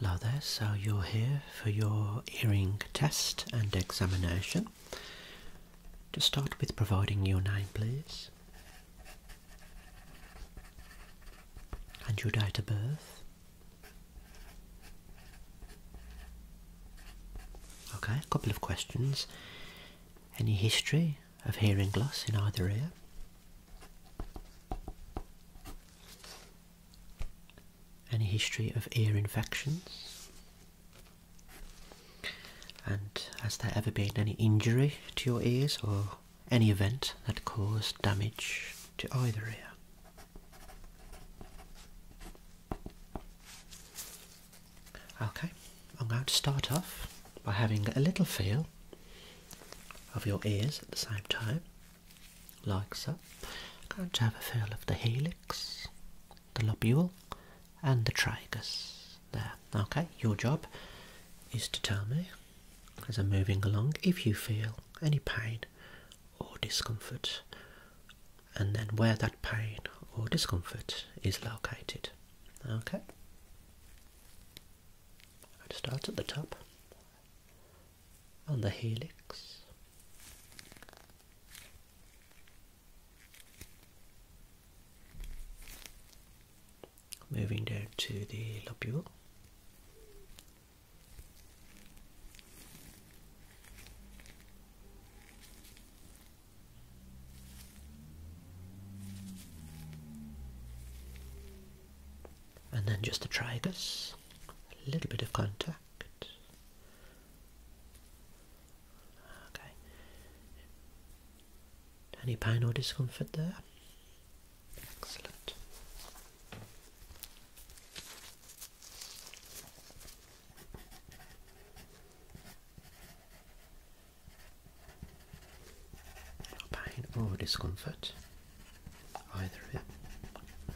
Hello there, so you're here for your hearing test and examination. To start with providing your name please. And your date of birth. Okay, a couple of questions. Any history of hearing loss in either ear? Any history of ear infections? And has there ever been any injury to your ears or any event that caused damage to either ear? Okay, I'm going to start off by having a little feel of your ears at the same time like so. I'm going to have a feel of the helix, the lobule and the trigus? there. Okay, your job is to tell me as I'm moving along if you feel any pain or discomfort and then where that pain or discomfort is located. Okay? I'll start at the top on the helix. Moving down to the lobule and then just the tragus, a little bit of contact. Okay. Any pain or discomfort there? Excellent. No pain or discomfort. Either of you.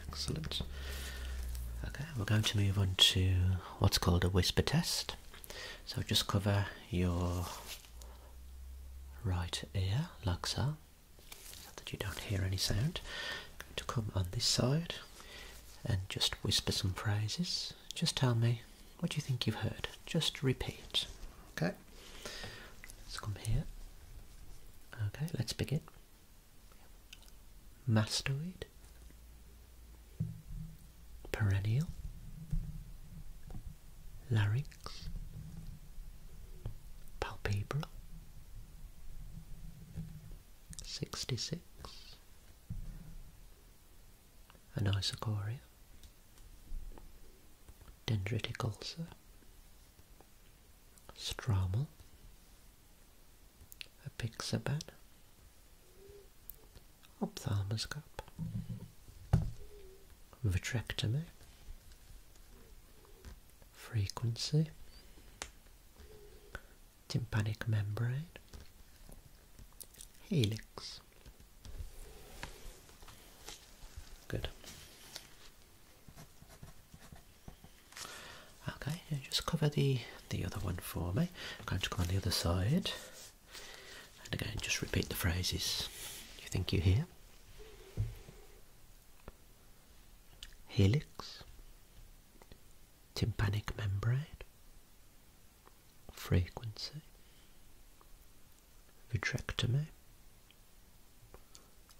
Excellent. Okay, we're going to move on to what's called a whisper test. So just cover your right ear like so, that you don't hear any sound. to come on this side and just whisper some phrases. Just tell me what you think you've heard. Just repeat. Okay let's come here. Okay, let's begin. Mastoid, perennial, larynx, palpebral, 66, anisocoria, dendritic ulcer, Stromal, Apixaban, Ophthalmoscope, Vitrectomy, Frequency, Tympanic membrane, Helix. Good. Okay, just cover the the other one for me. I'm going to go on the other side, and again, just repeat the phrases you think you hear. Helix, tympanic membrane, frequency, vitrectomy,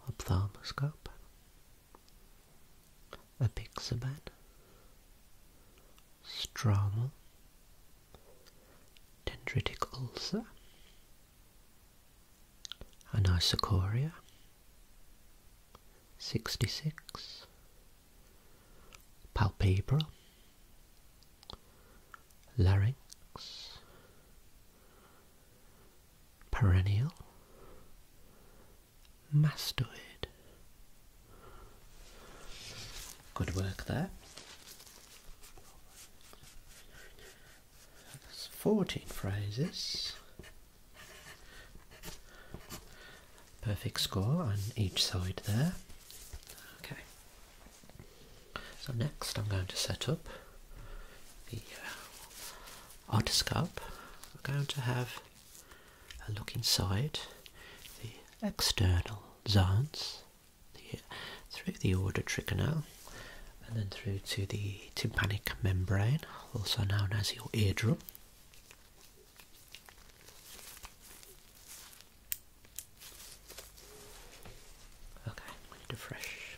ophthalmoscope, apixaban, struma, dendritic ulcer, anisocoria, 66, palpebral, larynx, perennial, mastoid. Good work there. That's 14 phrases. Perfect score on each side there. Okay. So next I'm going to set up the uh, otoscope, we're going to have a look inside the external zones uh, through the auditory canal and then through to the tympanic membrane, also known as your eardrum. Okay, need a fresh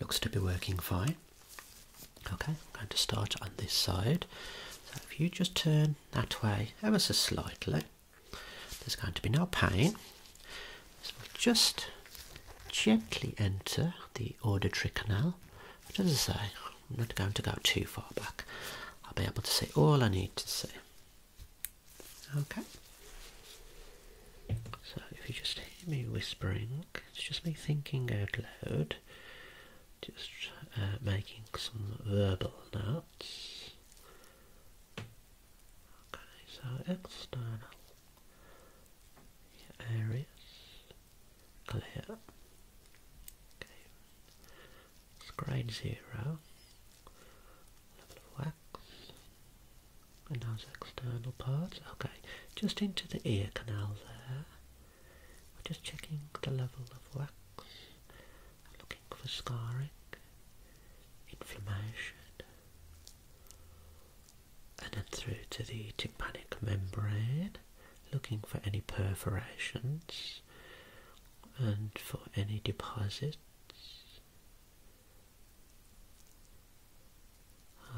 Looks to be working fine. Okay, I'm going to start on this side. So if you just turn that way ever so slightly, there's going to be no pain. So just gently enter the auditory canal. But as I say, I'm not going to go too far back. I'll be able to see all I need to see. Okay. So if you just hear me whispering, it's just me thinking out loud, just uh, making some verbal notes. Okay, so external areas clear. Okay. It's grade zero. Level of wax. And those external parts. Okay, just into the ear canal there. We're just checking the level of wax. looking for scarring, inflammation. And then through to the tympanic membrane, looking for any perforations and for any deposits.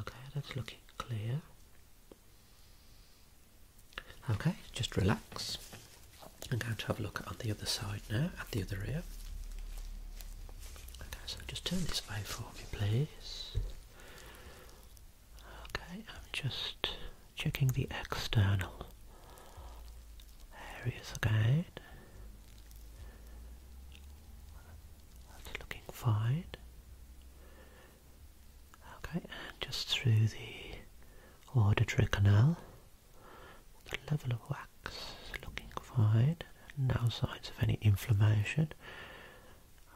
Okay, that's looking clear. Okay, just relax. I'm going to have a look on the other side now, at the other ear. Okay, so just turn this way for me, please. Okay, I'm just checking the external areas again. looking fine. Okay, and just through the auditory canal, the level of wax looking fine. No signs of any inflammation.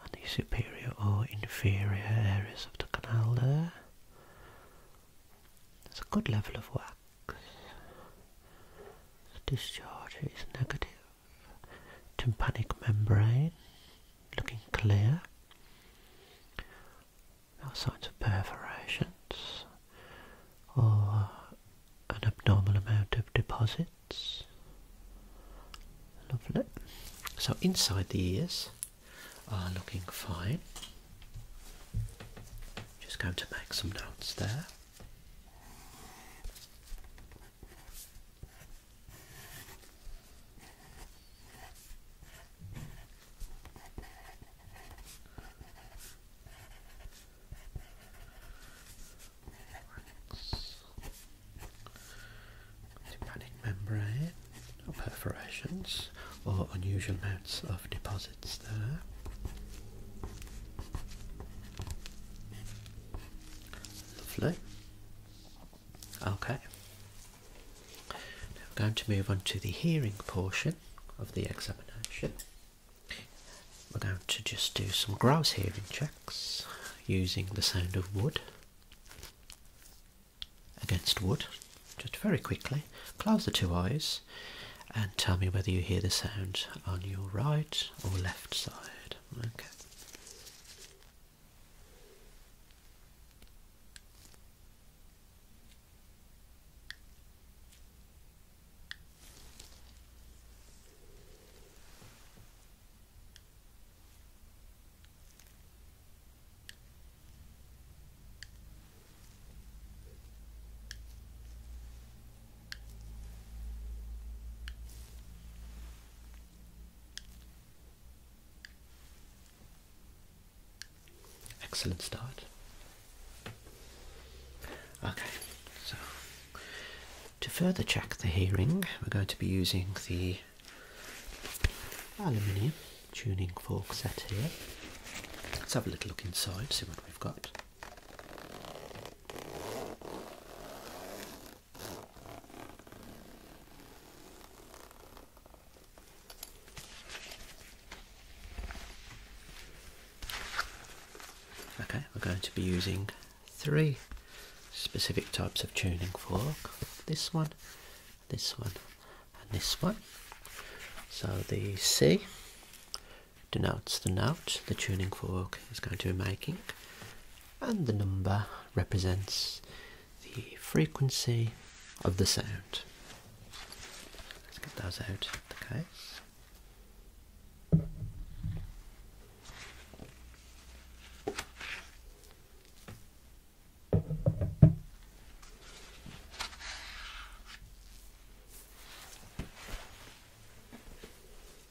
And the superior or inferior areas of the canal there. It's a good level of wax. The discharge is negative. Tympanic membrane looking clear. No signs of perforations or an abnormal amount of deposits. Lovely. So inside the ears are looking fine. Just going to make some notes there. Hepatic membrane perforations or unusual amounts of deposits there. Lovely. Okay. Now I'm going to move on to the hearing portion of the examination. We're going to just do some grouse hearing checks using the sound of wood against wood, just very quickly. Close the two eyes and tell me whether you hear the sound on your right or left side. Okay. Excellent start. Okay, so to further check the hearing, we're going to be using the aluminium tuning fork set here. Let's have a little look inside, see what we've got. Okay, we're going to be using three specific types of tuning fork. This one this one, and this one. So the C denotes the note the tuning fork is going to be making, and the number represents the frequency of the sound. Let's get those out of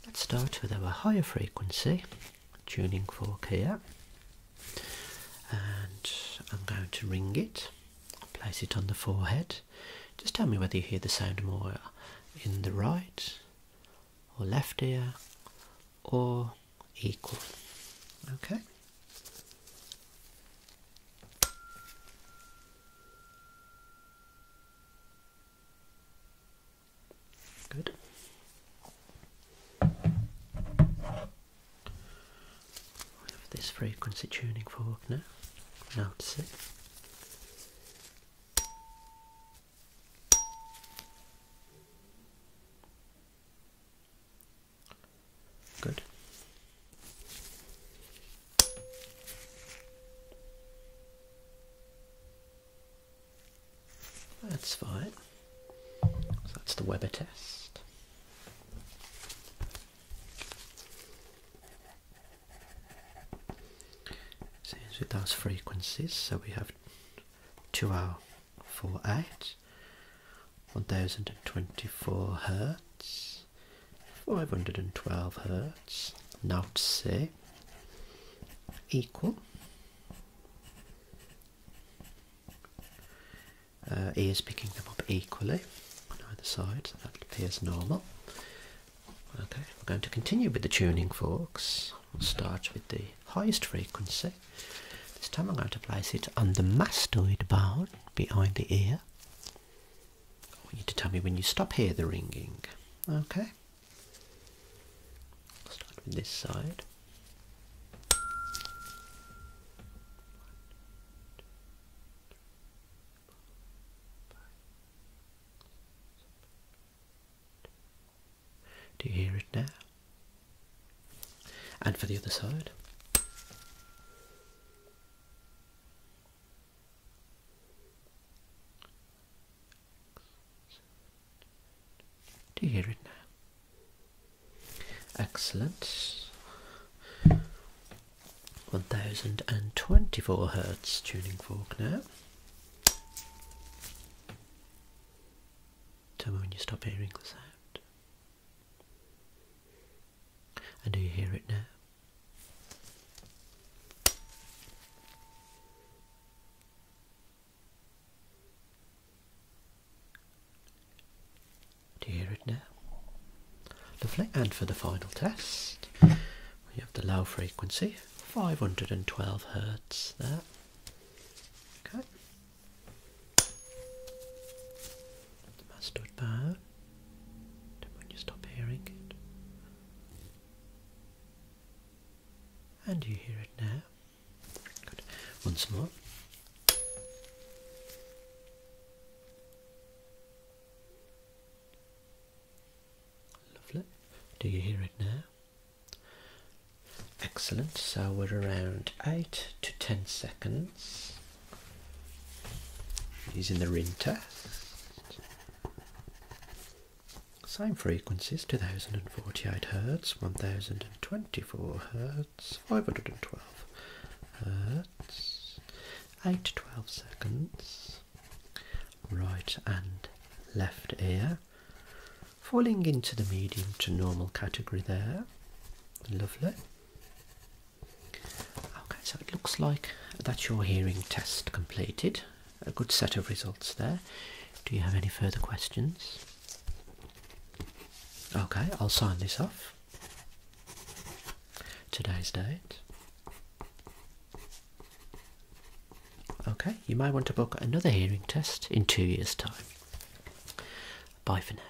Let's start with our higher frequency tuning fork here and I'm going to ring it, place it on the forehead. Just tell me whether you hear the sound more in the right or left ear or equal. Okay. Good. this frequency tuning fork now. Notice it. Good. That's fine. that's the Weber test. Seems with those frequencies, so we have two hour four eight 1024 hertz 512 hertz now to see equal uh, is picking them up equally on either side that appears normal okay we're going to continue with the tuning forks we'll start with the highest frequency this time I'm going to place it on the mastoid bone behind the ear. I want you to tell me when you stop hear the ringing. Okay. Start with this side. Do you hear it now? And for the other side. Do you hear it now? Excellent. 1024 hertz tuning fork now. Tell me when you stop hearing the sound. And do you hear it now? Do you hear it now? Lovely. And for the final test, we have the low frequency, 512 hertz there. Okay mustard bow. Then when you stop hearing it. And you hear it now. Good. Once more. Lovely. Do you hear it now? Excellent. So we're around 8 to 10 seconds Using the ring test. Same frequencies 2048 hertz, 1024 hertz, 512 hertz, 8 to 12 seconds, right and left ear. Falling into the medium to normal category there. Lovely. Okay, so it looks like that's your hearing test completed. A good set of results there. Do you have any further questions? Okay, I'll sign this off. Today's date. Okay, you might want to book another hearing test in two years' time. Bye for now.